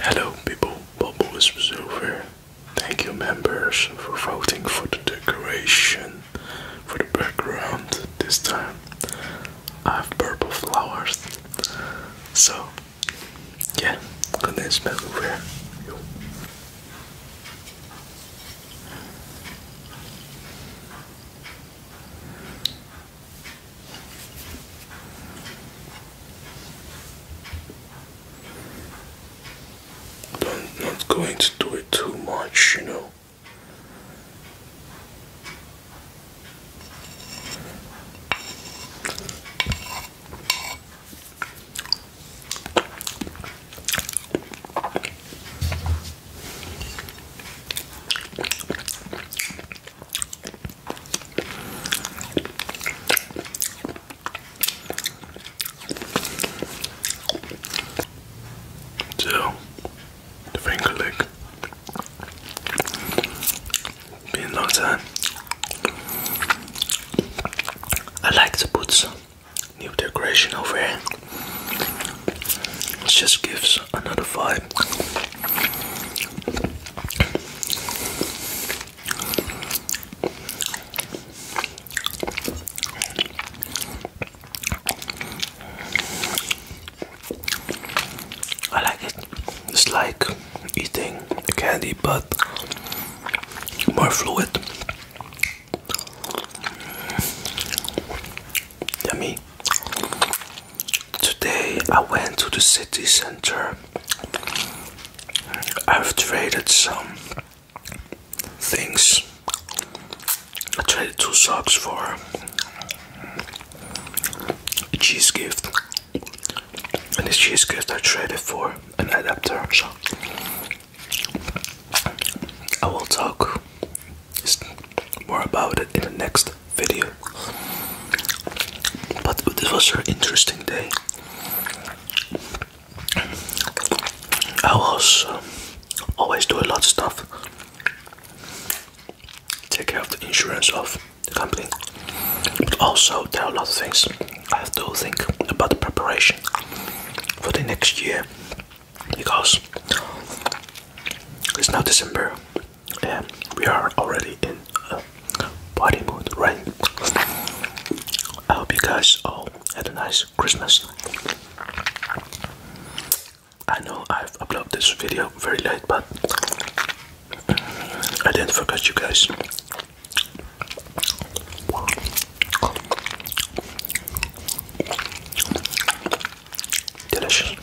Hello people, Bubble is over. Thank you members for voting for the decoration, for the background this time. I have purple flowers. So, yeah, goodness over. Yo. I'm not going to do it too much, you know. So, the finger lick. Been a long time. I like to put some new decoration over here. It just gives another vibe. I like it. It's like eating candy, but more fluid. Yummy. Today I went to the city center. I've traded some things. I traded two socks for a cheese gift. And this cheese gift I traded for an adapter. So I will talk more about it in the next video. But this was an interesting day. I was um, always doing a lot of stuff. Take care of the insurance of the company, but also there are a lot of things I have to think about the preparation for the next year because it's now December and we are already in a party mood, right? I hope you guys all had a nice Christmas. I know I've uploaded this video very late, but I didn't forget you guys. Delicious.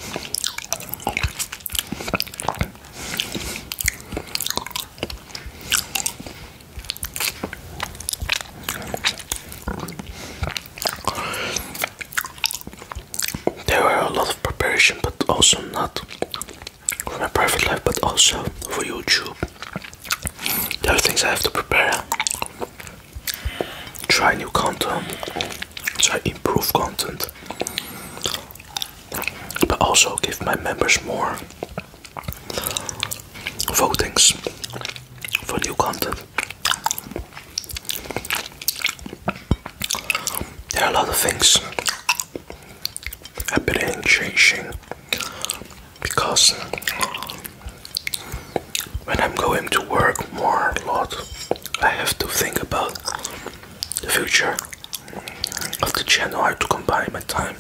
There were a lot of preparation, but also not for my private life, but also for YouTube. There are things I have to prepare try new content, try improve content, but also give my members more votings for new content. There are a lot of things happening and changing because when I'm going to work more a lot I have to think about the future of the channel, how to combine my time.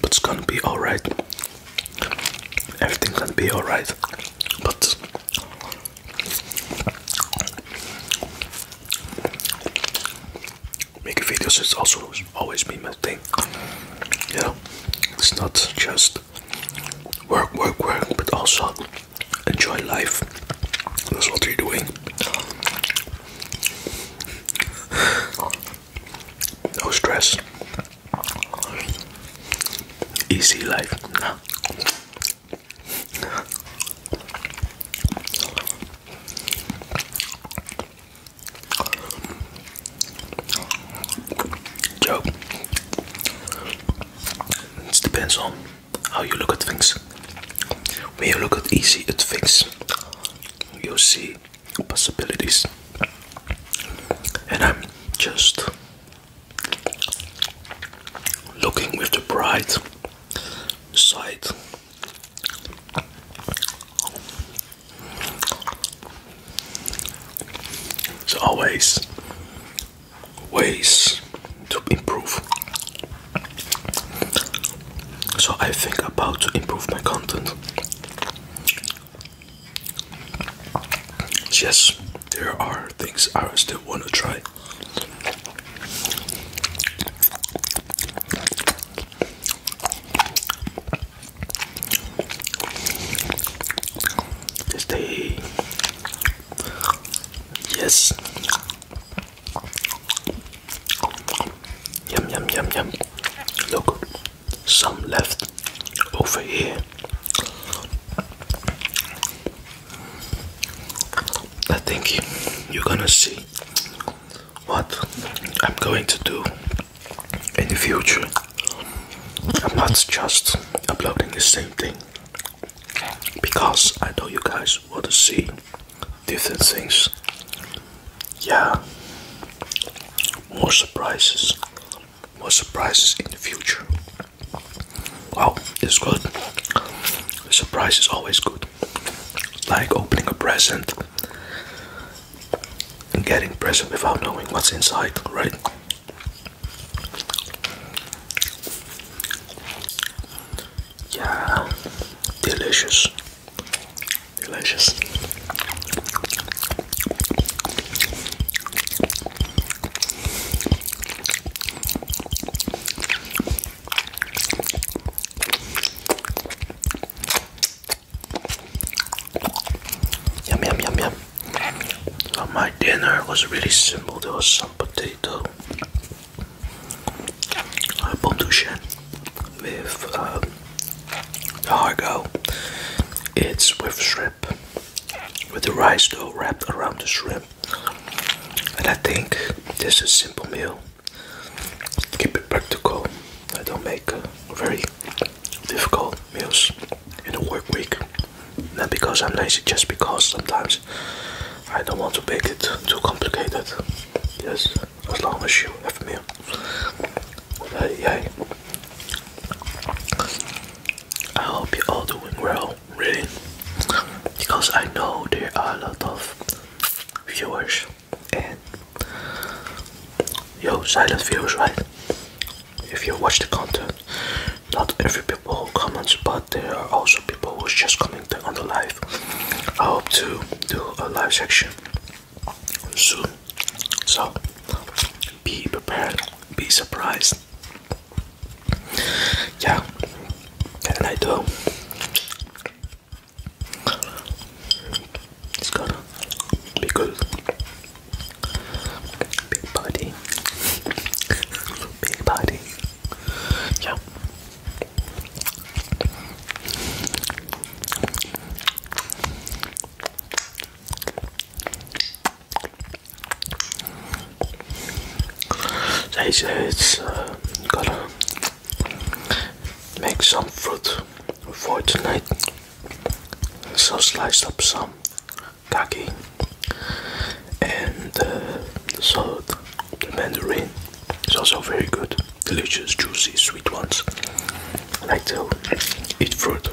But it's gonna be alright. Everything gonna be alright. But making videos is also always been my thing. You know, it's not just work, work, work, but also enjoy life. That's what you're doing. No stress. Easy life. Joe, it depends on how you look at things. When you look at easy at things, you see possibilities, and I'm just looking with the bright side there's always ways to improve. So I think about to improve my content. Yes, there are things I still want to try. Stay. Yes. Yum yum yum yum. Look, some left over here. I think you're gonna see what I'm going to do in the future, I'm not just uploading the same thing because I know you guys want to see different things. Yeah, more surprises, more surprises in the future. Wow, it's good. The surprise is always good. Like opening a present and getting present without knowing what's inside, right? Yeah, delicious, delicious. Yum yum yum yum. So my dinner was really simple. There was some potato, uh, pomme douchette with um, cargo. It's with shrimp, with the rice dough wrapped around the shrimp. And I think this is a simple meal keep it practical. I don't make uh, very difficult meals in a work week. Not because I'm lazy, just because sometimes I don't want to make it too complicated. Yes, as long as you have a meal. Hey, hey. I hope you're all doing well, really. Because I know there are a lot of viewers and yo silent viewers, right if you watch the content not every people who comments but there are also people who's just commenting on the live i hope to do a live section soon so be prepared be surprised yeah and i do it's gotta be good. Big party. Big party. Yeah. So it's, uh, Make some fruit for tonight. So slice up some kaki and uh, so the mandarin It's also very good. Delicious, juicy, sweet ones. I like to eat fruit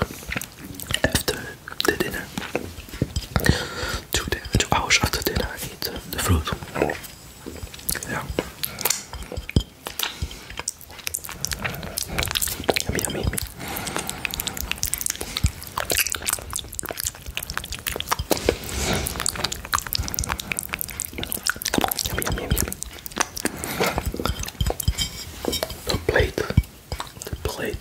after the dinner. Two, hours after dinner, I eat uh, the fruit. Yummy, yummy, yummy. The plate, the plate.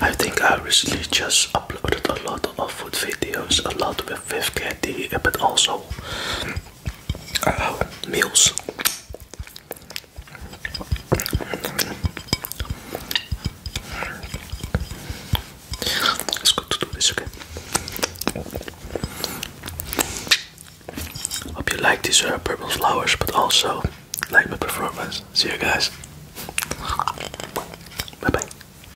I think I recently just uploaded a lot of food videos, a lot with with candy, but also uh, meals. It's good to do this again. Hope you like these uh, purple flowers, but also like my performance. See you guys. Bye bye.